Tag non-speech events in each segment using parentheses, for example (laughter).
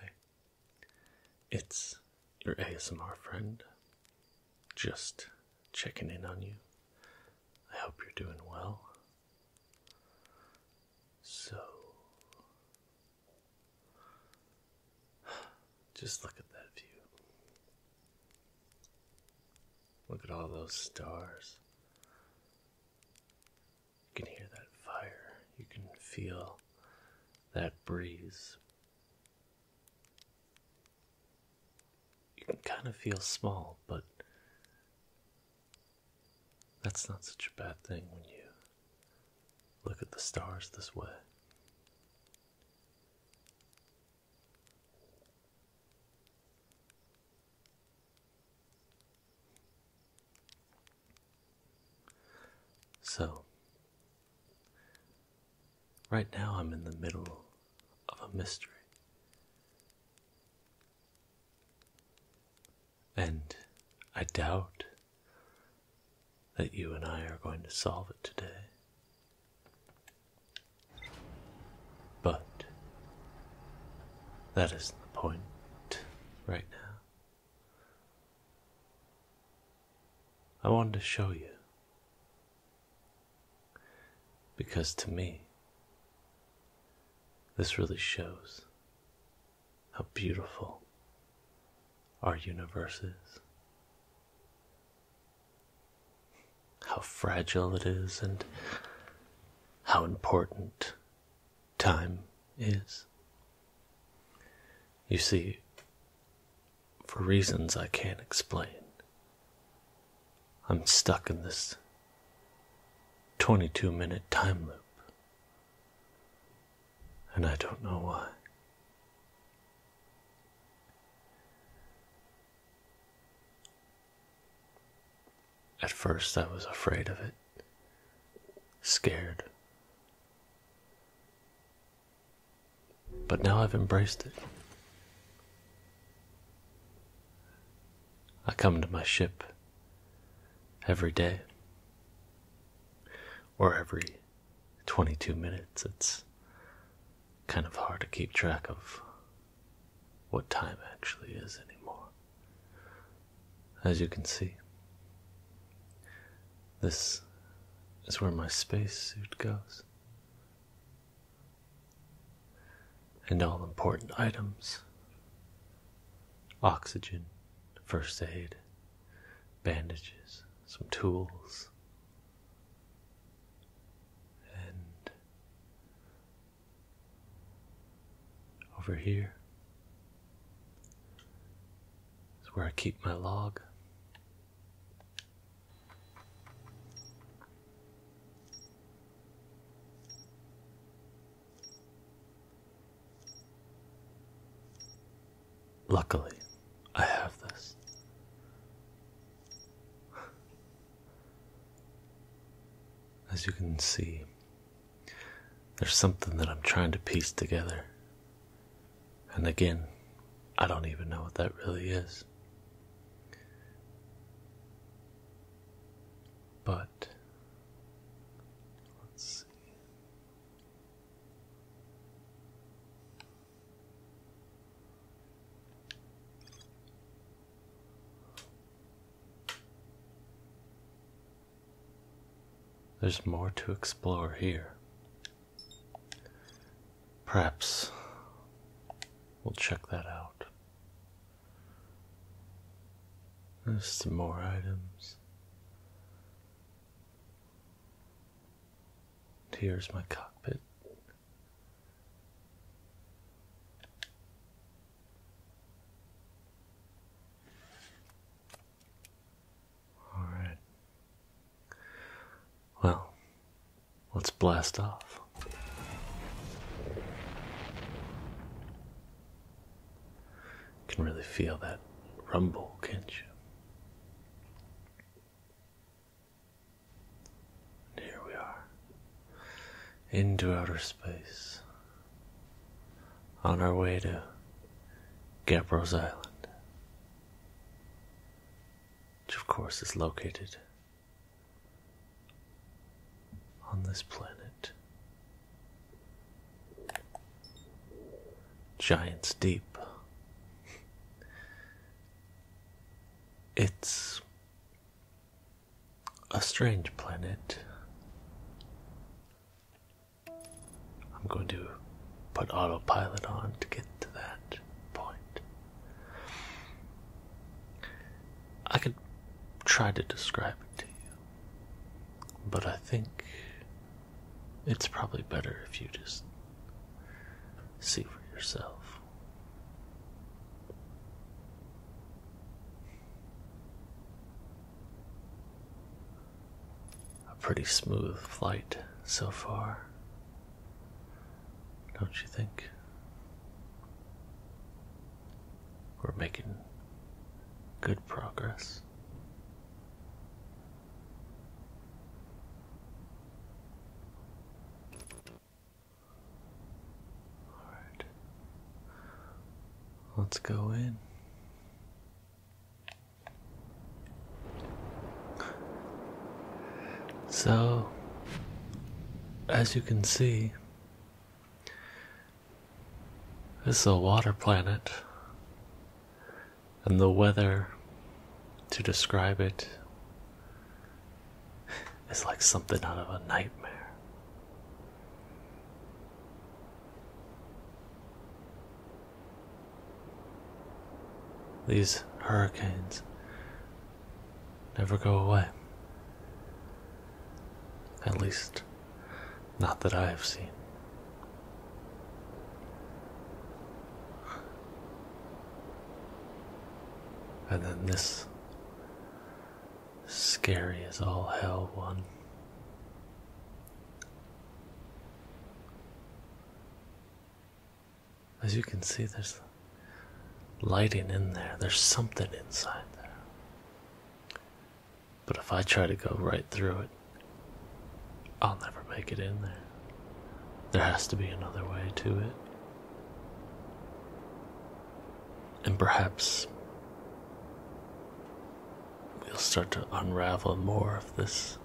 Hey, it's your ASMR friend. Just checking in on you. I hope you're doing well. So, (sighs) just look at that view. Look at all those stars. You can hear that fire. You can feel that breeze. You can kind of feel small, but that's not such a bad thing when you look at the stars this way. So, right now I'm in the middle of a mystery. And I doubt that you and I are going to solve it today. But that isn't the point right now. I wanted to show you. Because to me, this really shows how beautiful our universe is how fragile it is and how important time is. You see, for reasons I can't explain, I'm stuck in this 22 minute time loop. And I don't know why. At first, I was afraid of it, scared. But now I've embraced it. I come to my ship every day or every 22 minutes. It's kind of hard to keep track of what time actually is anymore. As you can see, this is where my space suit goes. And all important items oxygen, first aid, bandages, some tools, and over here is where I keep my log. Luckily, I have this. As you can see, there's something that I'm trying to piece together. And again, I don't even know what that really is. But let's see. There's more to explore here. Perhaps we'll check that out. There's some more items. Here's my cockpit. All right. Well, let's blast off. can really feel that rumble, can't you? here we are, into outer space, on our way to Gabros Island, which of course is located on this planet. Giants Deep. It's a strange planet. I'm going to put autopilot on to get to that point. I could try to describe it to you, but I think it's probably better if you just see for yourself. A pretty smooth flight so far, don't you think? We're making good progress. Alright. Let's go in. So, as you can see, this is a water planet, and the weather to describe it it's like something out of a nightmare. These hurricanes never go away. At least, not that I have seen. And then this Scary as all hell, one. As you can see, there's lighting in there, there's something inside there. But if I try to go right through it, I'll never make it in there. There has to be another way to it. And perhaps we'll start to unravel more of this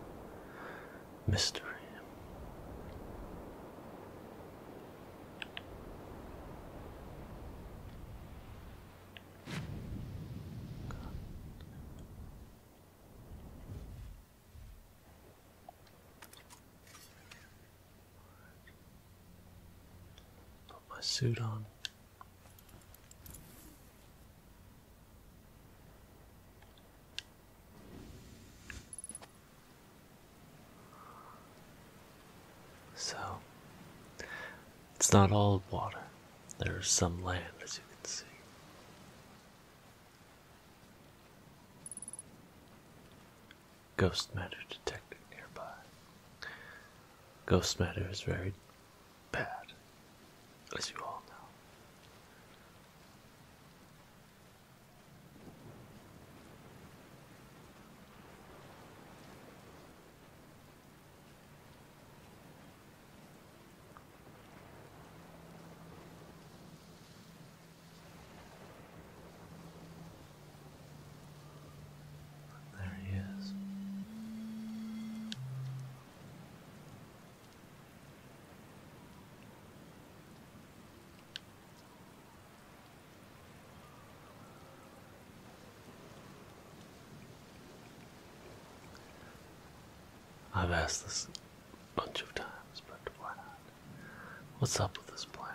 mystery. Put my suit on. So, it's not all water. There's some land, as you can see ghost matter detected nearby. Ghost matter is very bad, as you all know. There he is. I've asked this a bunch of times, but why not? What's up with this planet?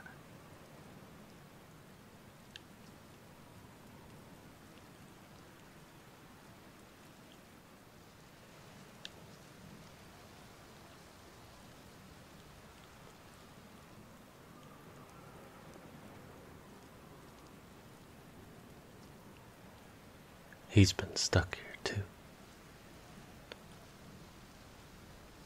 He's been stuck here too.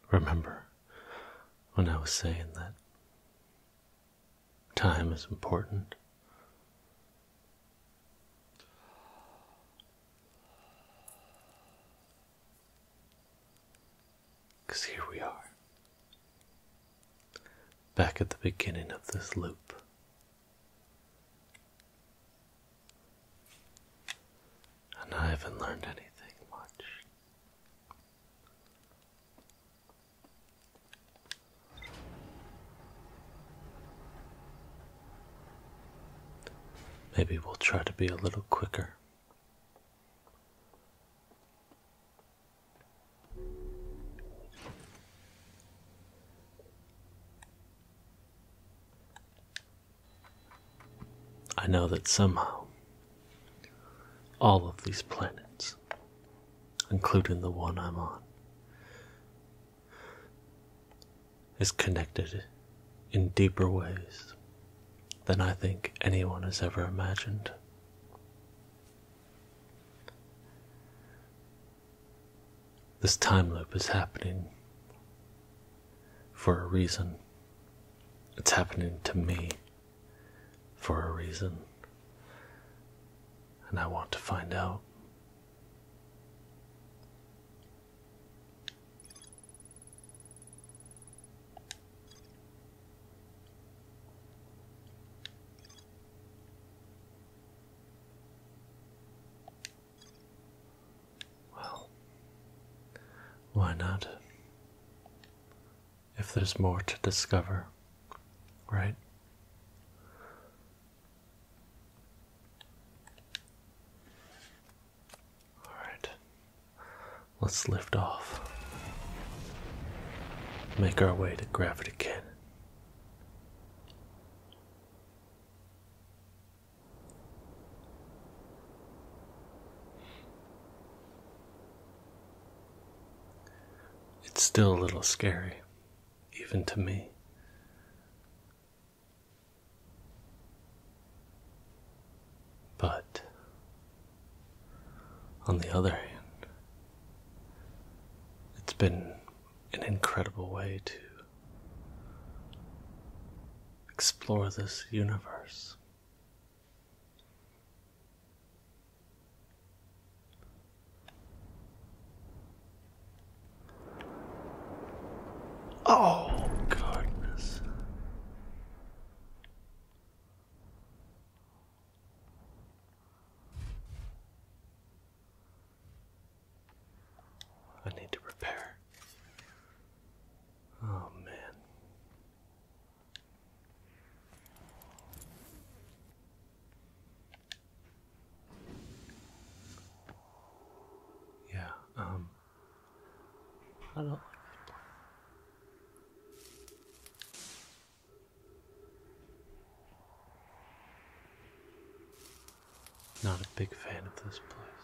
(sighs) Remember when I was saying that time is important? Because here we are, back at the beginning of this loop. And I haven't learned anything much. Maybe we'll try to be a little quicker. I know that somehow all of these planets, including the one I'm on, is connected in deeper ways than I think anyone has ever imagined. This time loop is happening for a reason. It's happening to me for a reason. And I want to find out. Well, why not? If there's more to discover, right? Alright, let's lift off. Make our way to Gravity Canyon. It's still a little scary, even to me. But on the other hand, it's been an incredible way to explore this universe. Oh, goodness. I need to repair. Oh, man. Yeah, um, I don't like it. Not a big fan of this place.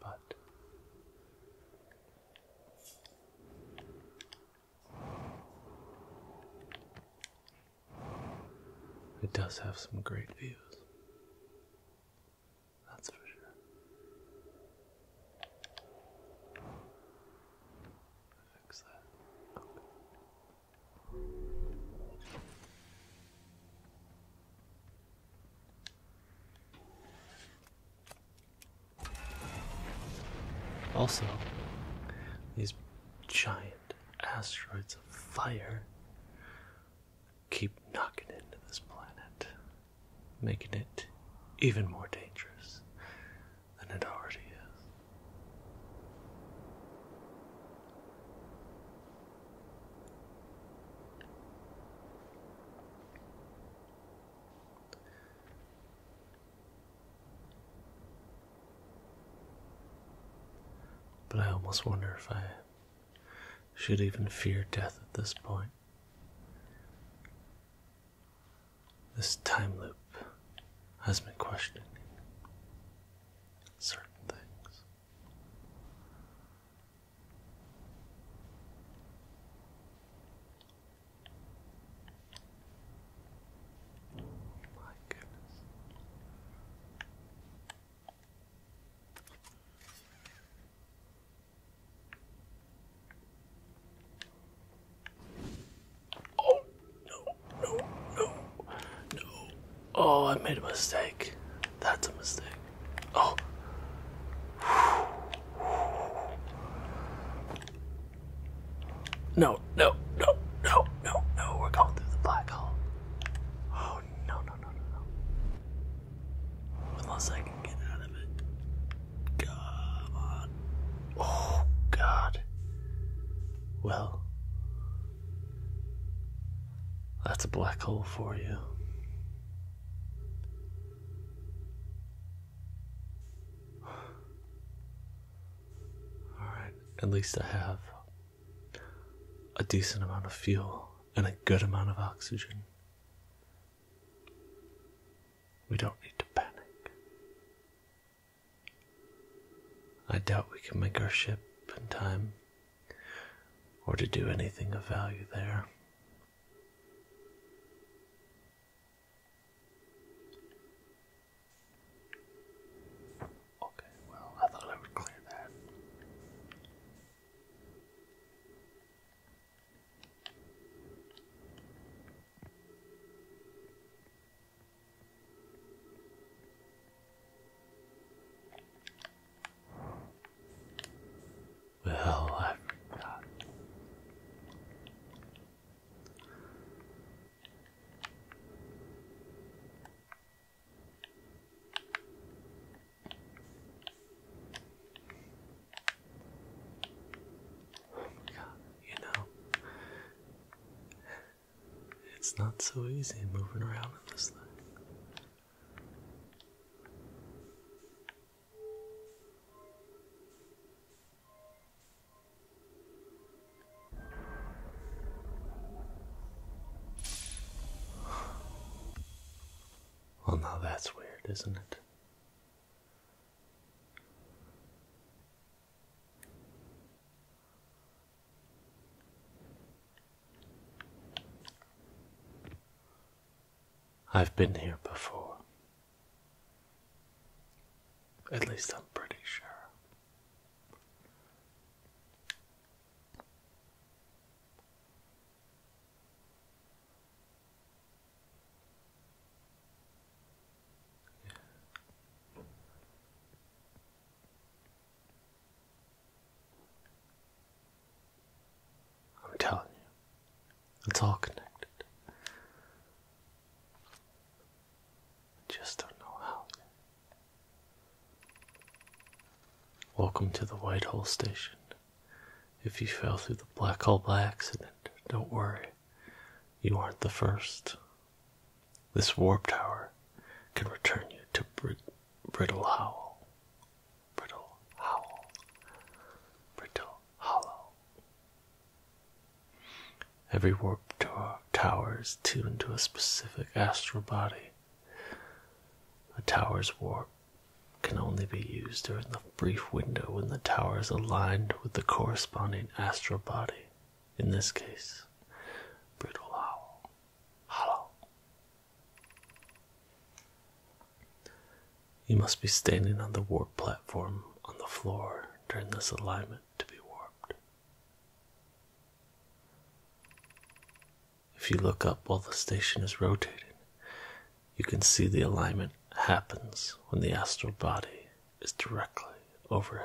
But it does have some great views. That's for sure. Fix that. Also, these giant asteroids of fire keep knocking into this planet, making it even more dangerous than it already is. But I almost wonder if I should even fear death at this point. This time loop has been questioning certain things. My goodness. Oh, no, no, no, no. Oh, I made a mistake. That's a mistake. Oh. No, no, no, no, no, no. We're going through the black hole. Oh no no no no no. Unless I can get out of it. Come Oh god. Well. That's a black hole for you. Alright, at least I have a decent amount of fuel and a good amount of oxygen. We don't need to panic. I doubt we can make our ship in time or to do anything of value there. Okay, well, I thought I would clear that. Well, I forgot. Oh my god, you know, it's not so easy moving around in this thing. Well, now that's weird, isn't it? I've been here before. At least I'm pretty sure. I'm telling you, it's all connected. I just don't know how yet. Welcome to the Whitehall station. If you fell through the black hole by accident, don't worry. You aren't the first. This warp tower can return you to Brittle Howl. Brittle Howl. Brittle Hollow. Every warp tower is tuned to a specific astral body a tower's warp can only be used during the brief window when the tower is aligned with the corresponding astral body, in this case, Brittle Owl. Hollow. You must be standing on the warp platform on the floor during this alignment to be warped. If you look up while the station is rotating, you can see the alignment happens when the astral body is directly overhead.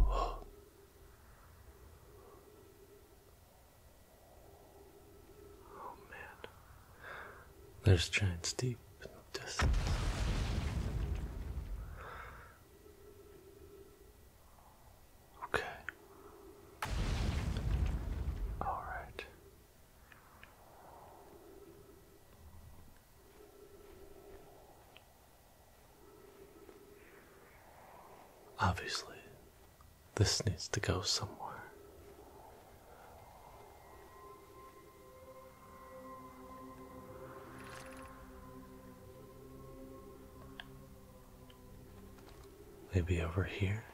Oh man, there's giants deep in the distance. Okay. All right. Obviously, this needs to go somewhere. Maybe over here?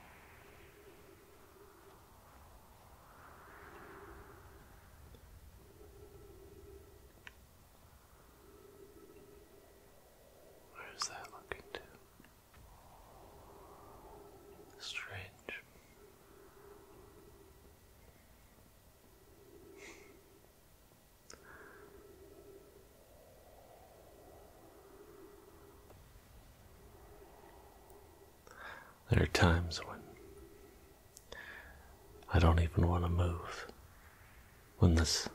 Where is that looking to? Strange. There are times when I don't even want to move when this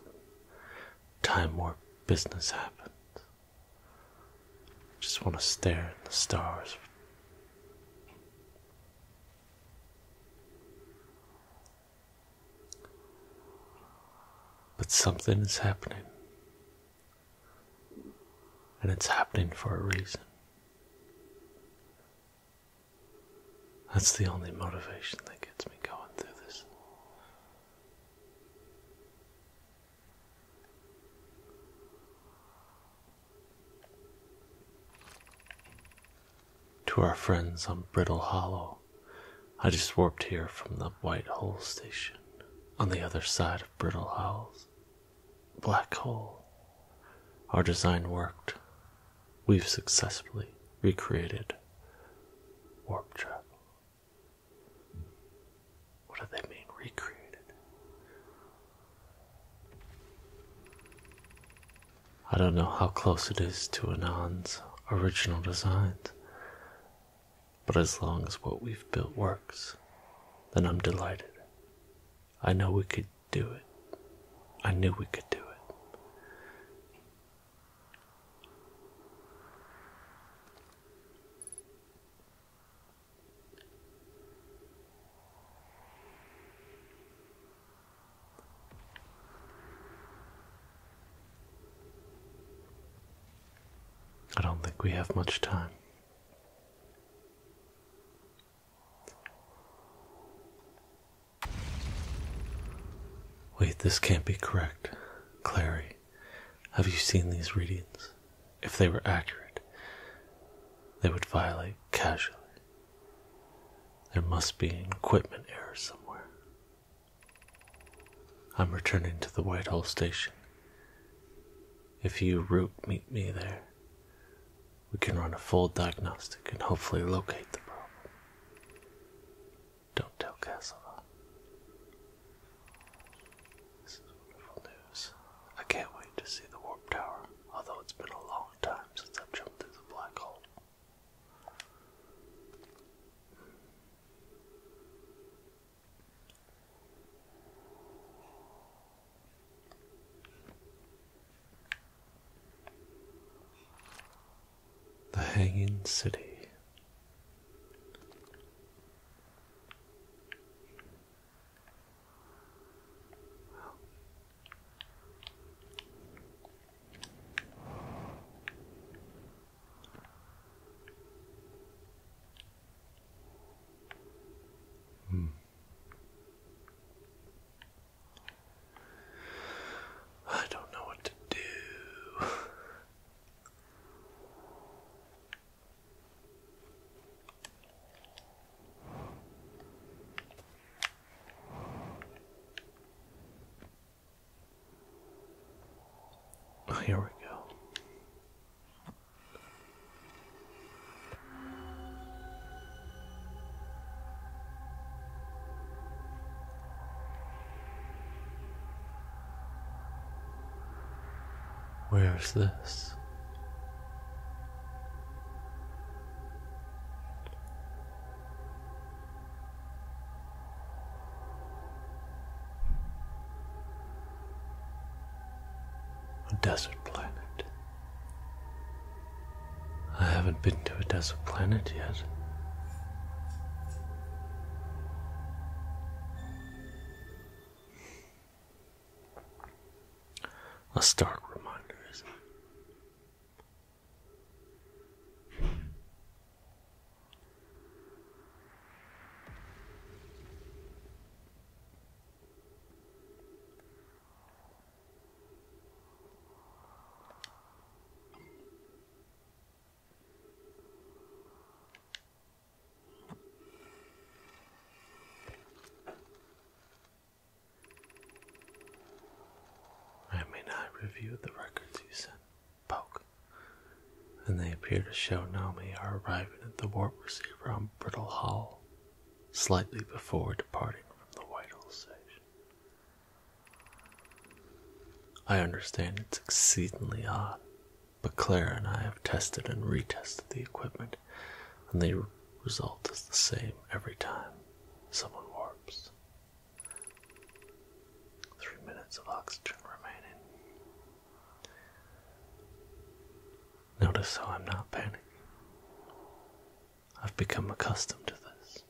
time warp business happens. I Just want to stare at the stars. But something is happening. And it's happening for a reason. That's the only motivation that gets me going through this. To our friends on Brittle Hollow, I just warped here from the White Hole station on the other side of Brittle Hollow's black hole. Our design worked we've successfully recreated warp travel. What do they mean, recreated? I don't know how close it is to Anand's original designs, but as long as what we've built works, then I'm delighted. I know we could do it. I knew we could do it. I don't think we have much time. Wait, this can't be correct. Clary, have you seen these readings? If they were accurate, they would violate casually. There must be an equipment error somewhere. I'm returning to the Whitehall station. If you route meet me there, we can run a full diagnostic and hopefully locate the problem. Don't tell Casanova. This is wonderful news. I can't wait to see the warp tower, although it's been a long time since I've jumped through the black hole the Hanging City. Hmm. I don't know what to do. here we go. Where's this? A desert planet. I haven't been to a desert planet yet. A stark reminder, isn't it? I may not review the records you sent, Poke, and they appear to show Nami are arriving at the warp receiver on Brittle Hall, slightly before departing from the Whitehall station. I understand it's exceedingly odd, but Clara and I have tested and retested the equipment, and the result is the same every time someone warps. Three minutes of oxygen remaining. Notice how I'm not panicking. I've become accustomed to this.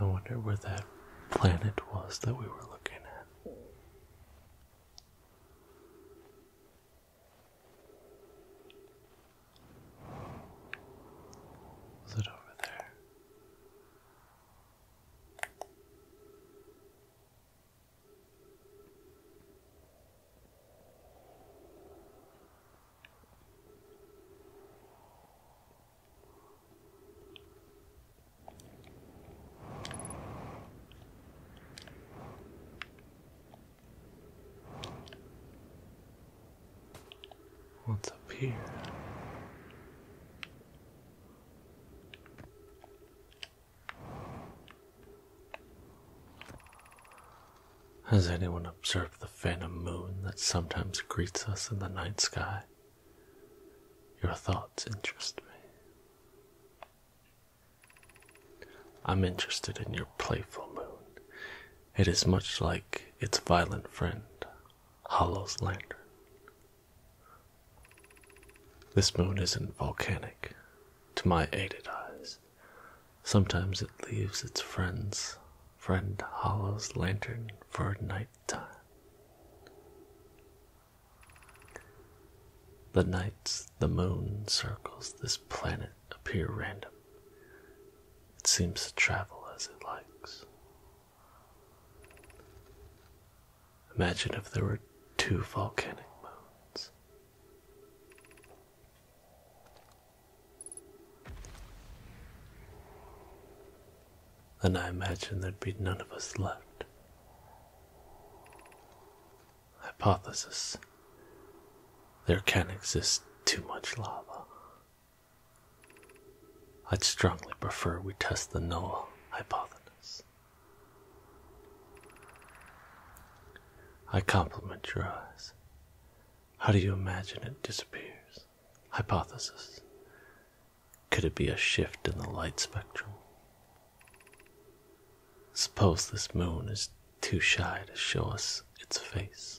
I wonder where that planet was that we were looking at. Was it over there? What's up here? Has anyone observed the phantom moon that sometimes greets us in the night sky? Your thoughts interest me. I'm interested in your playful moon. It is much like its violent friend, Hollow's lantern. This moon isn't volcanic to my aided eyes. Sometimes it leaves its friends, friend Hollow's lantern, for night time. The nights the moon circles this planet appear random. It seems to travel as it likes. Imagine if there were two volcanic moons. and I imagine there'd be none of us left. Hypothesis There can not exist too much lava. I'd strongly prefer we test the null hypothesis. I compliment your eyes. How do you imagine it disappears? Hypothesis could it be a shift in the light spectrum? Suppose this moon is too shy to show us its face.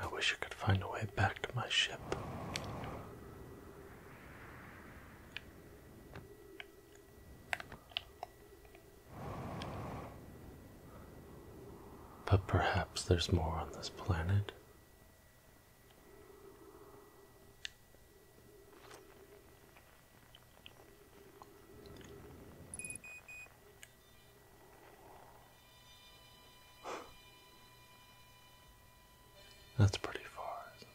I wish I could find a way back to my ship. But perhaps there's more on this planet. That's pretty far, isn't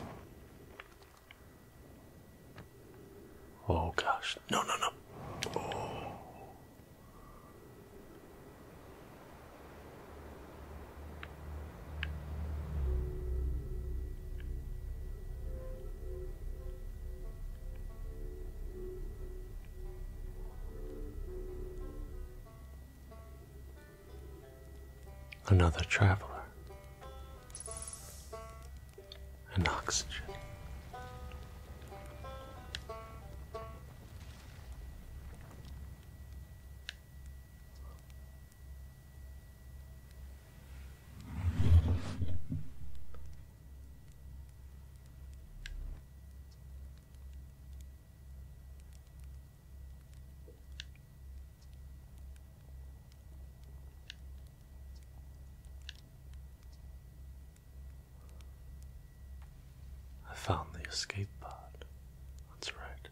it? Oh gosh. No, no, no another traveler, and oxygen. I found the escape pod. That's right.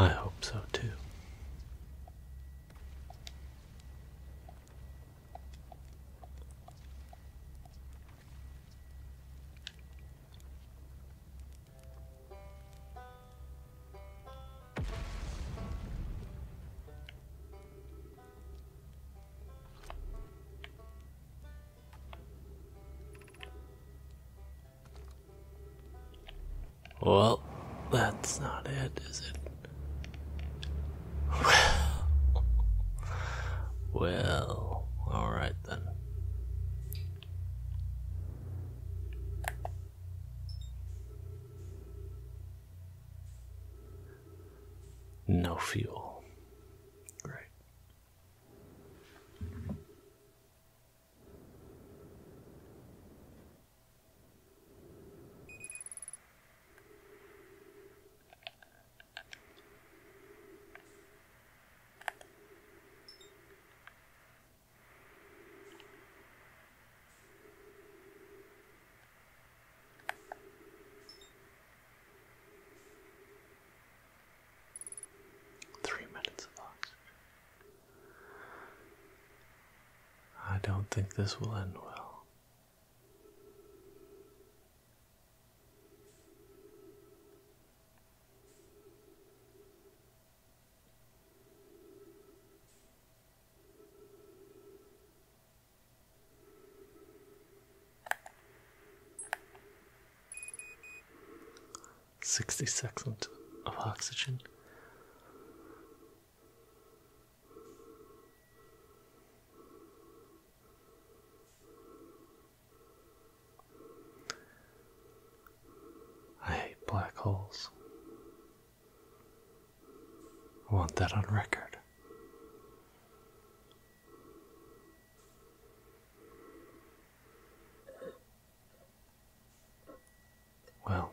I hope so too. Well, that's not it, is it? Well, well, all right then no fuel. Great. Three minutes of I don't think this will end well. Sixty seconds of oxygen. I hate black holes. I want that on record. Well,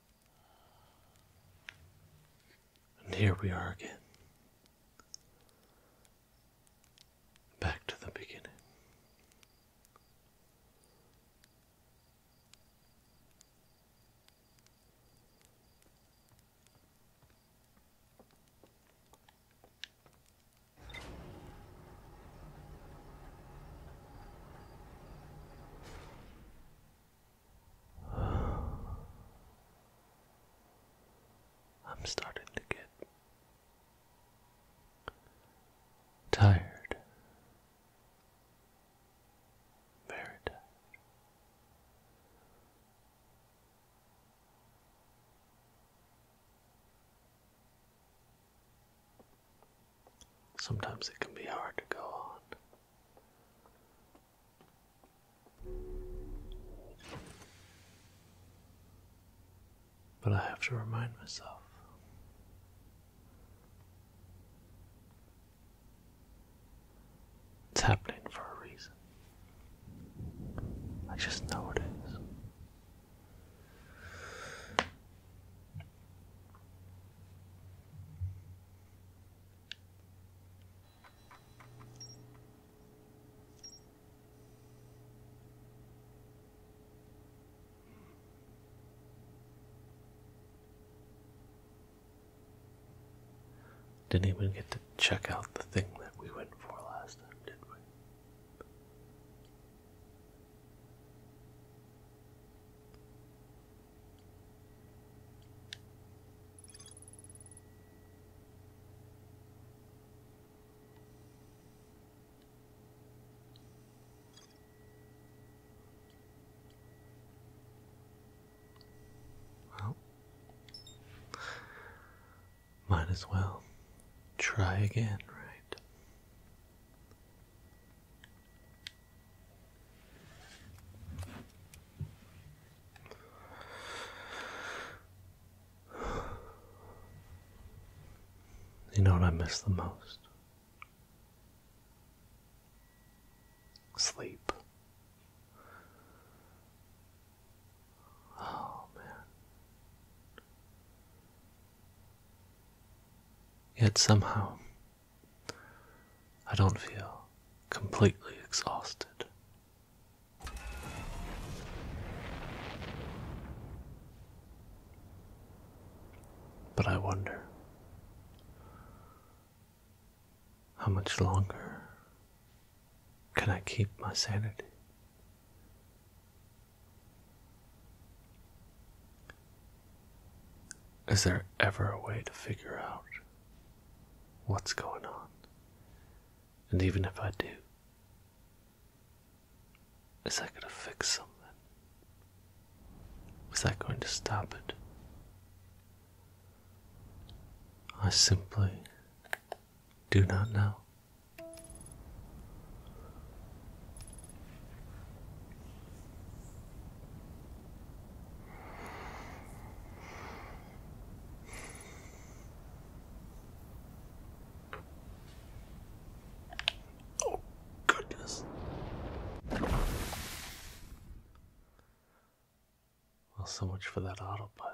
And here we are again. Back to the beginning. (sighs) I'm starting to get tired, very tired. Sometimes it can be hard to go on. But I have to remind myself it's happening for a reason. I just know it is. Didn't even get to check out the thing that we went for last time, did we? Well, might as well try again, right? You know what I miss the most? Sleep. Oh, man. Yet somehow, I don't feel completely exhausted. But I wonder how much longer can I keep my sanity? Is there ever a way to figure out what's going on? And even if I do, is that going to fix something? Is that going to stop it? I simply do not know. Oh, goodness. Well, so much for that autopilot.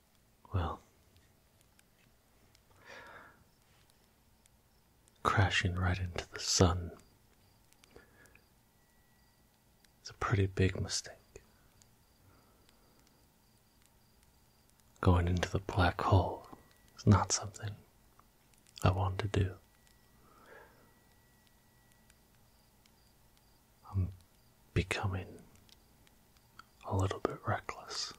well, crashing right into the sun. It's a pretty big mistake. Going into the black hole is not something I want to do. I'm becoming a little bit reckless.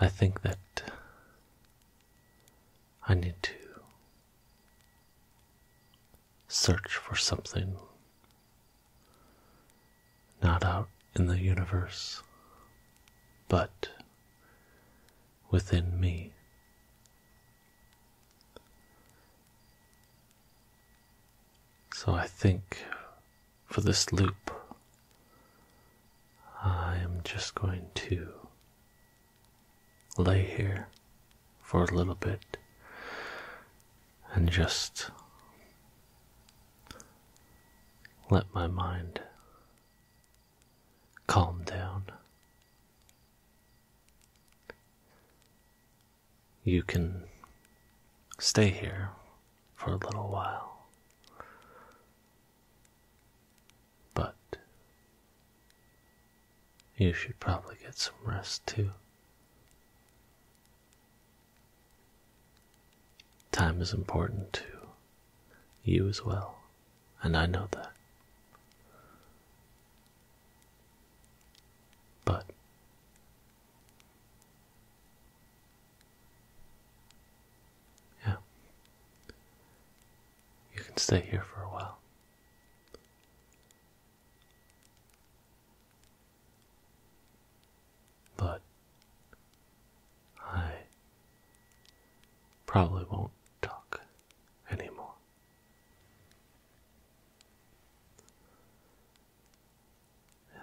I think that I need to search for something not out in the universe, but within me. So I think for this loop, I am just going to lay here for a little bit and just let my mind Calm down. You can stay here for a little while, but you should probably get some rest too. Time is important too. You as well, and I know that. But yeah, you can stay here for a while. But I Probably won't talk anymore. Yeah.